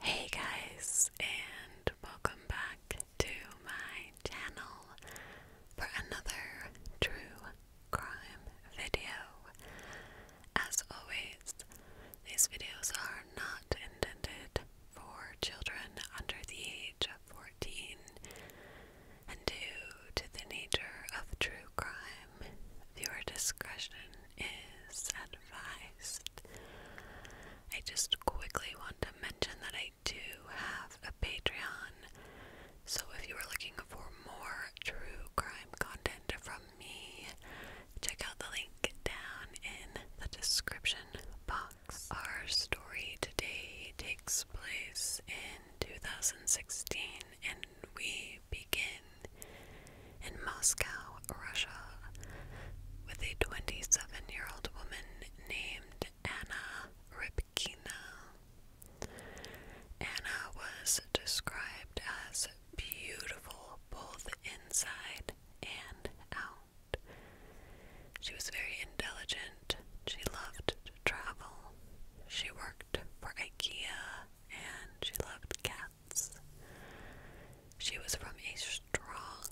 Hey guys, and welcome back to my channel for another true crime video. As always, these videos are not intended for children under the age of 14, and due to the nature of true crime, viewer discretion is advised. I just quickly want to mention that I do have a Patreon, so if you are looking for more true crime content from me, check out the link down in the description box. Our story today takes place in 2016 and we begin in Moscow, Russia, with a 27 year old woman named Anna Ripkina. Anna was described as beautiful both inside and out. She was very intelligent. She loved to travel. She worked for IKEA and she loved cats. She was from a strong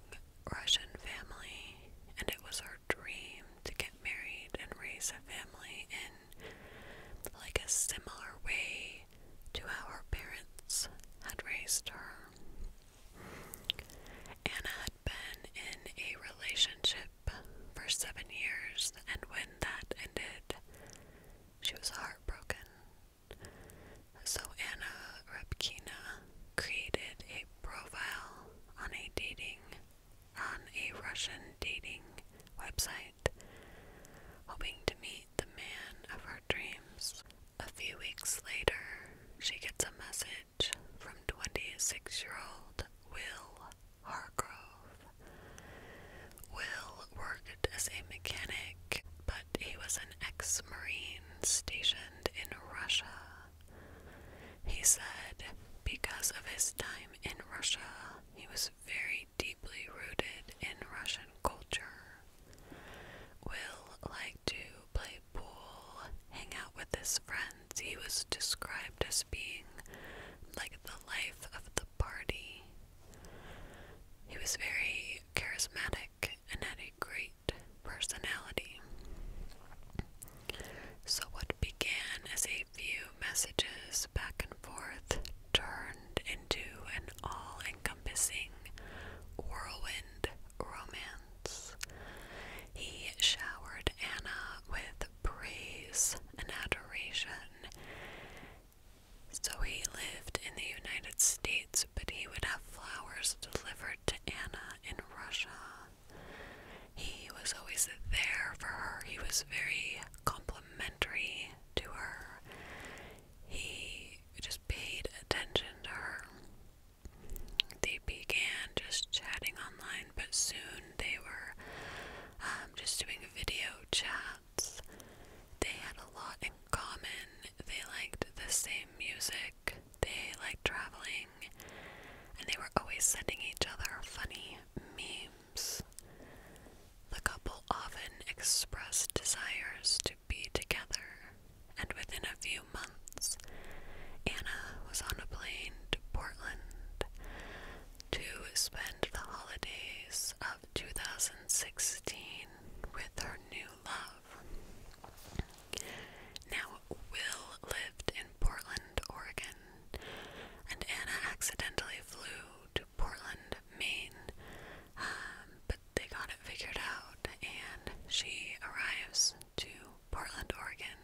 Russian family, and it was her dream to get married and raise a family in like a similar way to how her parents had raised her. Anna had been in a relationship for seven years, and when that ended, she was heartbroken so Anna Repkina created a profile on a dating on a Russian dating website, hoping to meet the man of her dreams. A few weeks later, she gets a message from 26-year-old Will Hargrove. Will worked as a mechanic, but he was an ex Marine stationed in Russia. He said because of his time in Russia, he was very deeply rooted in Russian culture. Will liked to play pool, hang out with his friends. He was described as being like the life of the party. He was very charismatic and had a great personality. So, what began as a few messages back and forth turned into an all encompassing whirlwind romance. He showered Anna with praise and adoration. So he lived in the United States but he would have flowers delivered to Anna in Russia. He was always there for her. He was very complimentary to her. He just paid attention to her. They began just chatting online, but soon they were um, just doing video chats. They had a lot in common. They liked the same music, they liked traveling, and they were always sending each other funny memes. The couple often expressed desires to be together, and within a few months, Anna was on a plane to Portland to spend the holidays of 2016 with her new love. Now, Will lived in Portland, Oregon, and Anna accidentally flew to Portland, Maine, um, but they got it figured out, and she arrives to Portland, Oregon,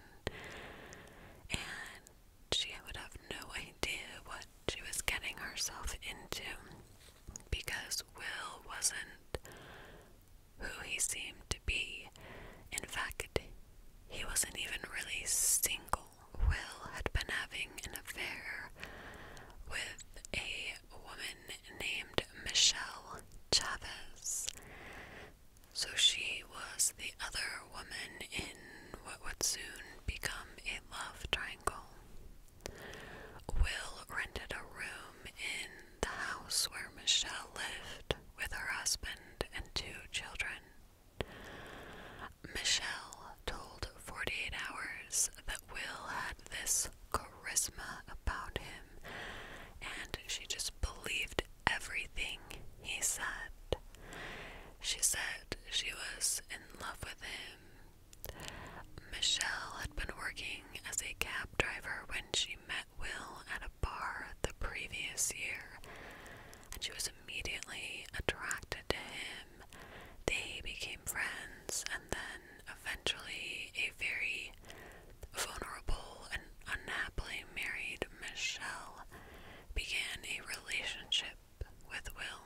and she would have no idea what she was getting herself into because Will wasn't who he seemed to be. In fact, he wasn't even really single. Will had been having an affair with a woman named Michelle Chavez. So she was the other woman in what would soon become a love triangle. Will rented a room in the house where Michelle lived with her husband and two children. Michelle told 48 Hours that Will had this charisma about him, and she just believed everything he said. She said she was in love with him. Michelle had been working as a cab cab driver when she met Will at a bar the previous year, and she was immediately attracted to him. They became friends, and then eventually, a very vulnerable and unhappily married Michelle began a relationship with Will.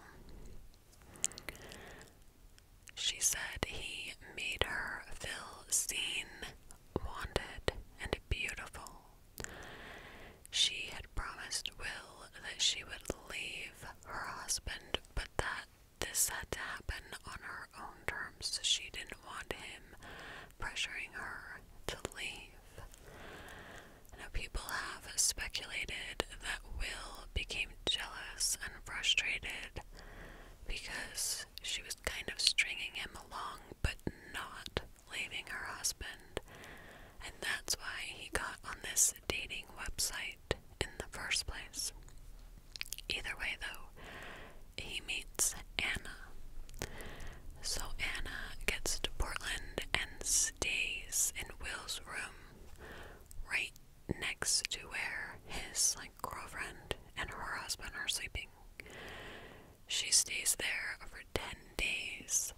She said he made her feel seen, wanted, and beautiful. She had promised Will that she would leave her husband, but that this had to happen on her own terms. She didn't want him pressuring her to leave. Now, people have speculated that Will became jealous and frustrated because she was kind of stringing him along but not leaving her husband. And that's why he got on this dating website in the first place. Either way, though, he meets Anna. So Anna gets to Portland and stays in Will's room right next to where his like girlfriend and her husband are sleeping. She stays there for 10 days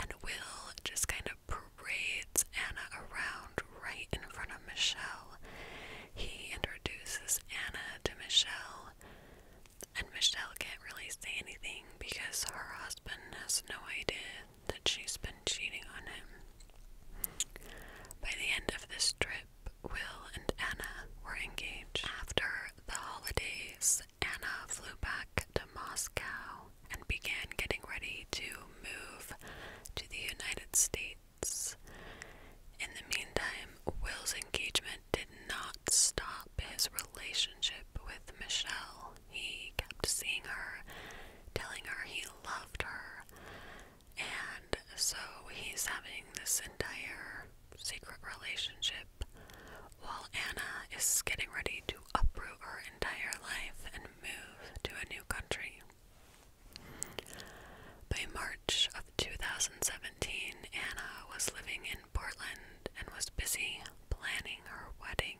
and Will just kind of parades Anna around right in front of Michelle. He introduces Anna to Michelle, and Michelle can't really say anything because her husband has no idea that she's been cheating on him. By the end of this trip, Will and Anna were engaged. After the holidays, Anna flew back to Moscow and began getting ready to move to the United States. In the meantime, Will's engagement did not stop his relationship with Michelle. He kept seeing her, telling her he loved her, and so he's having this entire secret relationship while Anna is getting ready to uproot her entire life and move to a new country. By March of 2017, Anna was living in Portland and was busy planning her wedding.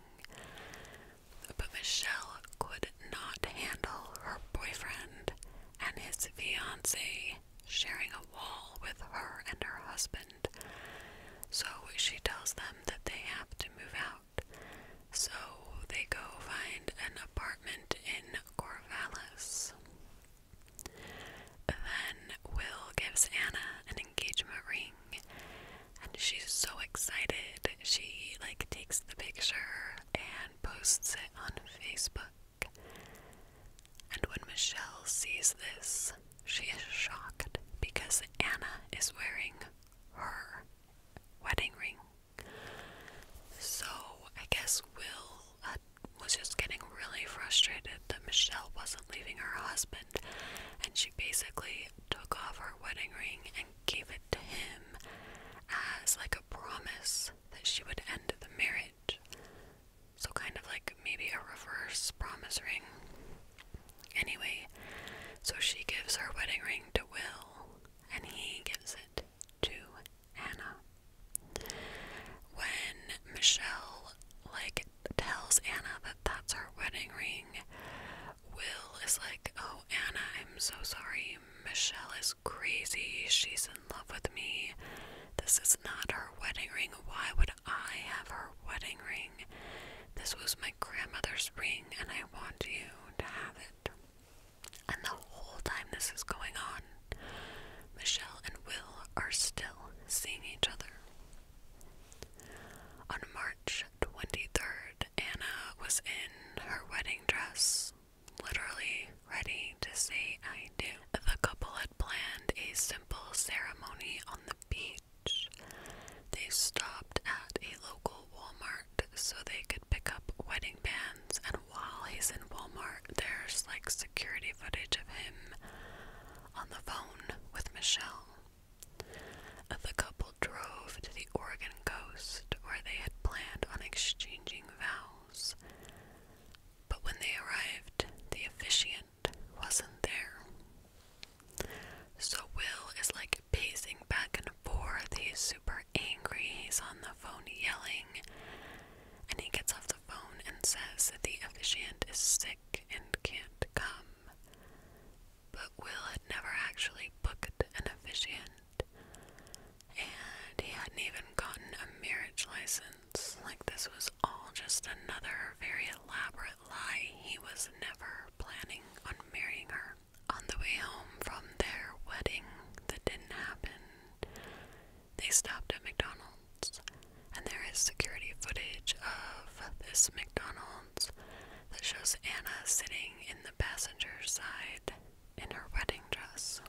But Michelle could not handle her boyfriend and his fiancee sharing a wall with her and her husband. So she tells them that they have to move out. So they go find an apartment in Corvallis. Then Will gives Anna an engagement ring and she's so excited. She like takes the picture and posts it on Facebook. And when Michelle sees this, she is shocked because Anna is wearing her wedding ring. So I guess Will uh, was just getting really frustrated that Michelle wasn't leaving her husband, and she basically took off her wedding ring and gave it to him as like a promise that she would end the marriage. So, kind of like maybe a reverse promise ring. Anyway, so she gives her wedding ring to Will, and he gives it to Anna. When Michelle, like, tells Anna that that's her wedding ring, Will is like, Oh, Anna, I'm so sorry. Michelle is crazy. She's in love with me. This is not her wedding ring. Why would I have her wedding ring? This was my grandmother's ring, and I want you to have it. And the whole time this is going on, Michelle and Will are still seeing each other. On March 23rd, Anna was in her wedding dress literally ready to say I do. The couple had planned a simple ceremony on the beach. They stopped at a local Walmart so they could pick up wedding bands, and while he's in Walmart, there's like security footage of him on the phone with Michelle. The couple drove to the Oregon coast where they had planned on exchanging vows. But when they arrived, the officiant wasn't there. So Will is like pacing back and forth. He's super angry. He's on the phone yelling. And he gets off the phone and says that the officiant is sick and can't come. But Will had never actually booked an officiant. And he hadn't even gotten a marriage license like this was all just another very elaborate lie. He was never planning on marrying her. On the way home from their wedding that didn't happen, they stopped at McDonald's, and there is security footage of this McDonald's that shows Anna sitting in the passenger side in her wedding dress.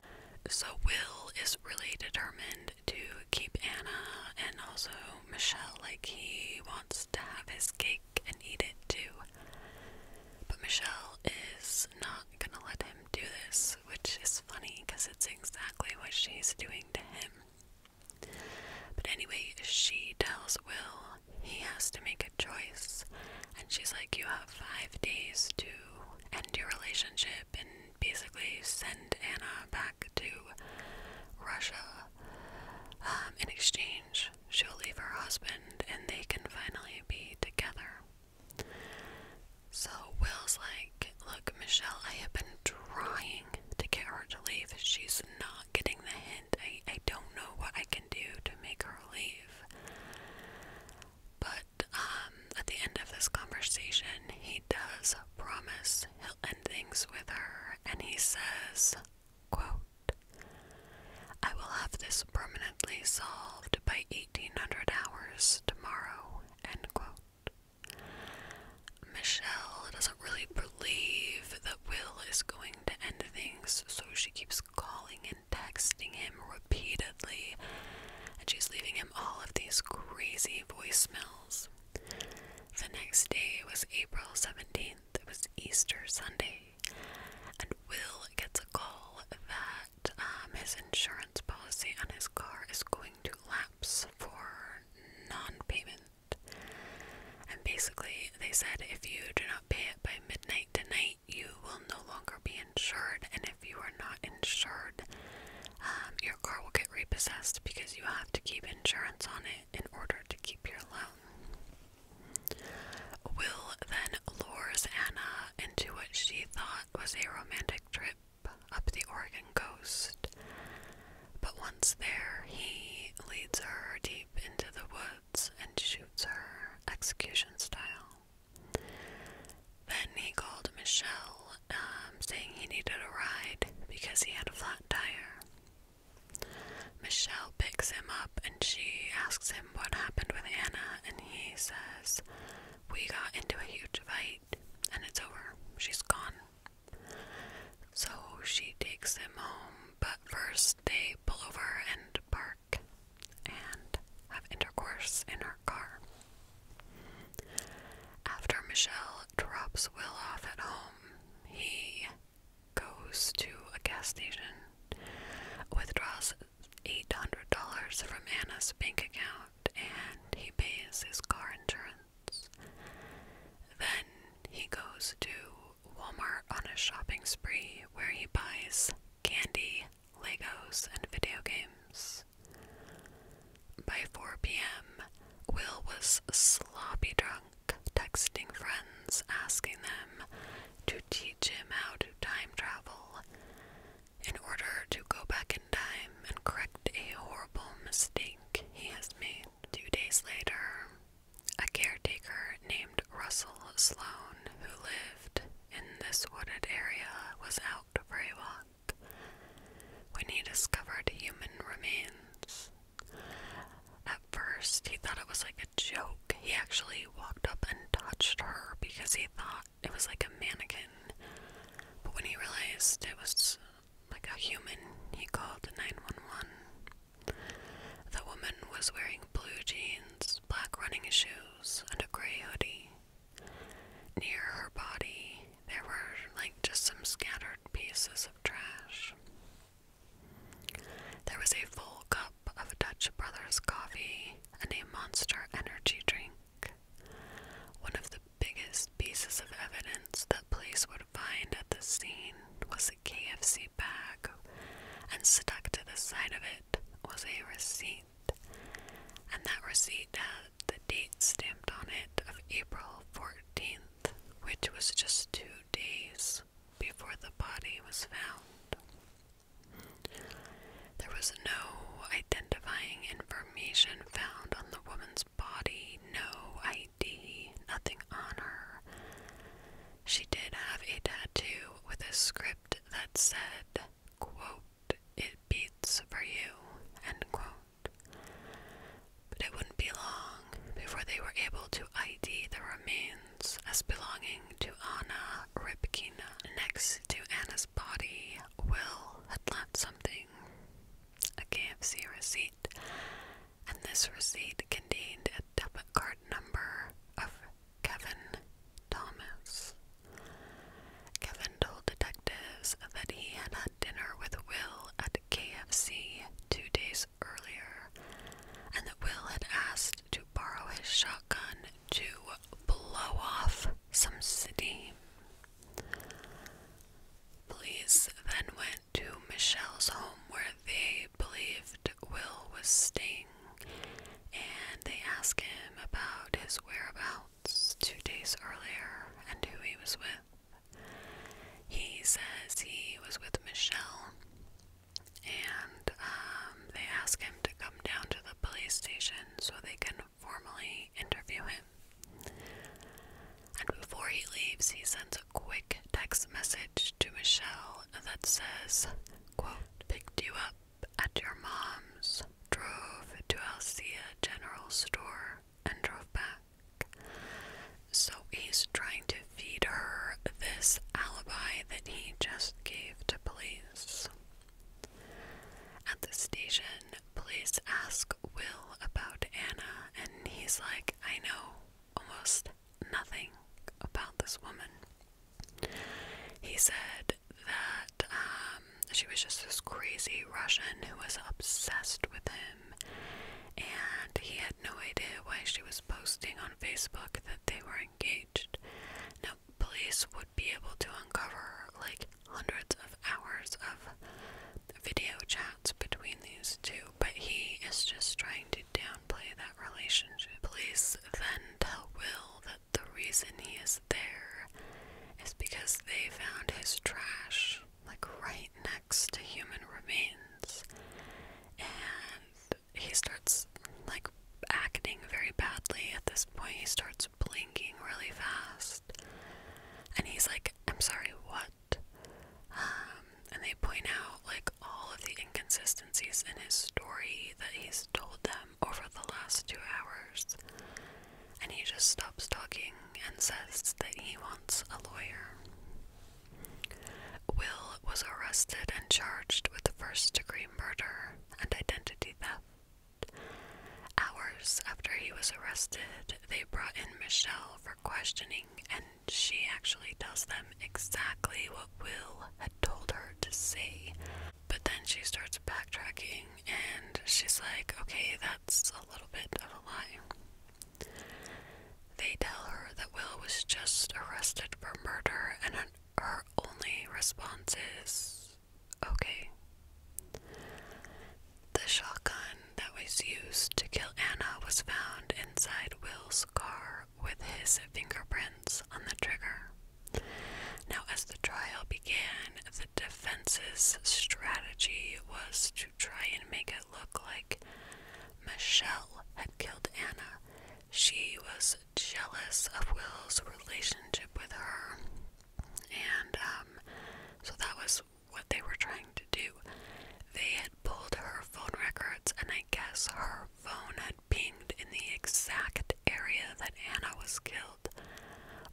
So, Will is really determined to keep Anna and also Michelle, like, he wants to have his cake and eat it too. But Michelle is not gonna let him do this, which is funny because it's exactly what she's doing to him. But anyway, she tells Will he has to make a choice, and she's like, You have five days to end your relationship and basically send Anna back to Russia. Um, in exchange, she'll leave her husband and they can finally be together. So Will's like, Look, Michelle, I have been trying to get her to leave. She's not getting the hint. I, I don't know what I can do to make her leave. But um, at the end of this conversation, he does promise he'll end things with her, and he says, quote, I will have this permanently solved by 1800 hours tomorrow, end quote. Michelle doesn't really believe that Will is going to end things, so she keeps calling and texting him repeatedly and she's leaving him all of these crazy voicemails. The next day was April 17th, it was Easter Sunday, and Will gets a call that um, his insurance policy on his car is going to lapse for non payment. And basically, they said if you do not pay it by midnight tonight, you will no longer be insured, and if you are not insured, um, your car will get repossessed because you have to keep insurance on it in order to keep your loan. Will then lures Anna into what she thought was a romantic trip up the Oregon coast. But once there, he leads her deep into the woods and shoots her execution style. Then he called Michelle, um, saying he needed a ride because he had a flat tire. Michelle picks him up and she asks him what happened with Anna, and he says, We got into a huge fight and it's over. She's gone. So she takes him home, but first they pull over and park and have intercourse in her car. After Michelle drops Will off at home, he goes to a gas station, withdraws $800 from Anna's bank account, and he pays his car insurance. Then he goes to Walmart on a shopping spree where he buys candy, Legos, and video games. By 4 p.m., Will was sloppy drunk, texting friends, asking them to teach him how to time travel in order to go back in time and correct a horrible mistake he has made. Two days later, a caretaker named Russell Sloan, who lived in this wooded area, was out for a walk when he discovered human remains. At first, he thought it was like a joke. He actually walked up and touched her because he thought it was like a mannequin. But when he realized it was like a human, he called 911. The woman was wearing blue jeans, black running shoes, and a gray hoodie. Near her body, there were like just some scattered pieces of trash. There was a full cup of Dutch Brothers coffee and a monster energy drink. One of the biggest pieces of evidence that police would find at the scene was a KFC bag, and stuck to the side of it was a receipt and that receipt had the date stamped on it of April 14th, which was just two days before the body was found. There was no identifying information found on the woman's body, no ID, nothing on her. She did have a tattoo with a script that said, quote, it beats for you, end quote. But it wouldn't be long before they were able to ID the remains as belonging to Anna Ripkina. Next to Anna's body, Will had left something a KFC receipt, and this receipt contained a debit card number of Kevin Thomas. Kevin told detectives that he had dinner with Will at KFC two days earlier, and that Will had asked to borrow his shotgun to blow off some steam. Police then went to Michelle's home where they believed Will was staying and they asked him about his whereabouts two days earlier and who he was with. He says he was with Michelle, and um, they ask him to come down to the police station so they can formally interview him. And before he leaves, he sends a quick text message to Michelle that says, quote, picked you up at your mom's, drove to Alsea General Store, and drove back. So he's trying to feed her this alibi that he just gave to police. At the station, police ask Will about Anna, and he's like, I know almost nothing about this woman. He said that uh, she was just this crazy Russian who was obsessed with him, and he had no idea why she was posting on Facebook that they were engaged. Now, police would be able to uncover like hundreds of hours of video chats between these two, but he is just trying to downplay that relationship. Police then tell Will that the reason he is there is because they found his trash like right next to human remains. And he starts like acting very badly at this point. He starts blinking really fast. And he's like, I'm sorry, what? Um, and they point out like all of the inconsistencies in his story that he's told them over the last two hours and he just stops talking and says that he wants a lawyer. Will was arrested and charged with first degree murder and identity theft. Hours after he was arrested, they brought in Michelle for questioning, and she actually tells them exactly what Will had told her to say. But then she starts backtracking and she's like, okay, that's a little bit of a lie. They tell her that Will was just arrested for murder, and her only response is, okay. The shotgun that was used to kill Anna was found inside Will's car with his fingerprints on the trigger. Now, as the trial began, the defense's strategy was to try and make it look like Michelle had killed Anna. She was jealous of Will's relationship with her, and um, so that was what they were trying to do. They had pulled her phone records, and I guess her phone had pinged in the exact area that Anna was killed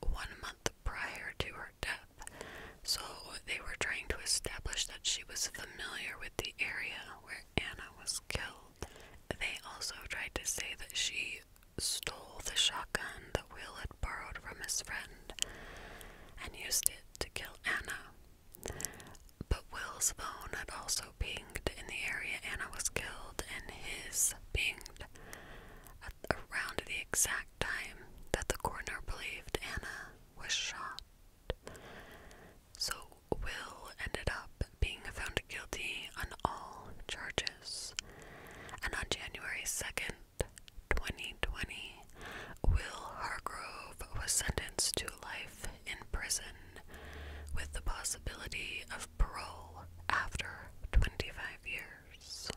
one month prior to her death, so they were trying to establish that she was familiar with the area where Anna was killed. They also tried to say that she stole the shotgun that Will had borrowed from his friend and used it to kill Anna. But Will's phone had also pinged in the area Anna was killed, and his pinged around the exact time that the coroner believed Anna was shot. So, Will ended up being found guilty on all charges. And on January 2nd, 2020, Will Hargrove was sentenced to life in prison with the possibility of parole after 25 years.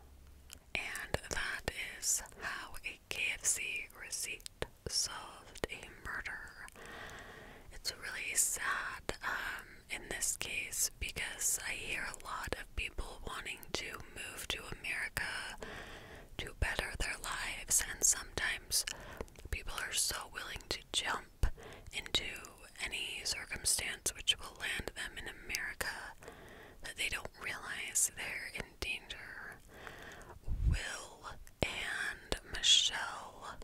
And that is how a KFC receipt solved a murder. It's really sad um, in this case because I hear a lot of people wanting to move to America to better their lives, and sometimes people are so willing to jump into any circumstance which will land them in America that they don't realize they're in danger. Will and Michelle,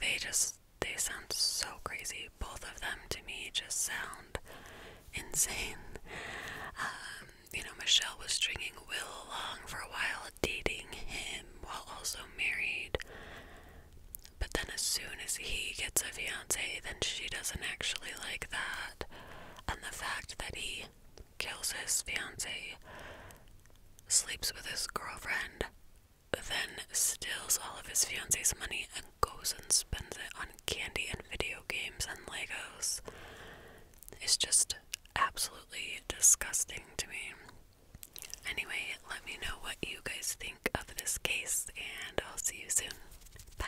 they just, they sound so crazy. Both of them to me just sound insane. Um, you know, Michelle was stringing Will along for a while, dating him while also married. But then, as soon as he gets a fiance, then she doesn't actually like that and the fact that he kills his fiance, sleeps with his girlfriend, then steals all of his fiance's money and goes and spends it on candy and video games and Legos is just absolutely disgusting to me. Anyway, let me know what you guys think of this case, and I'll see you soon. Bye.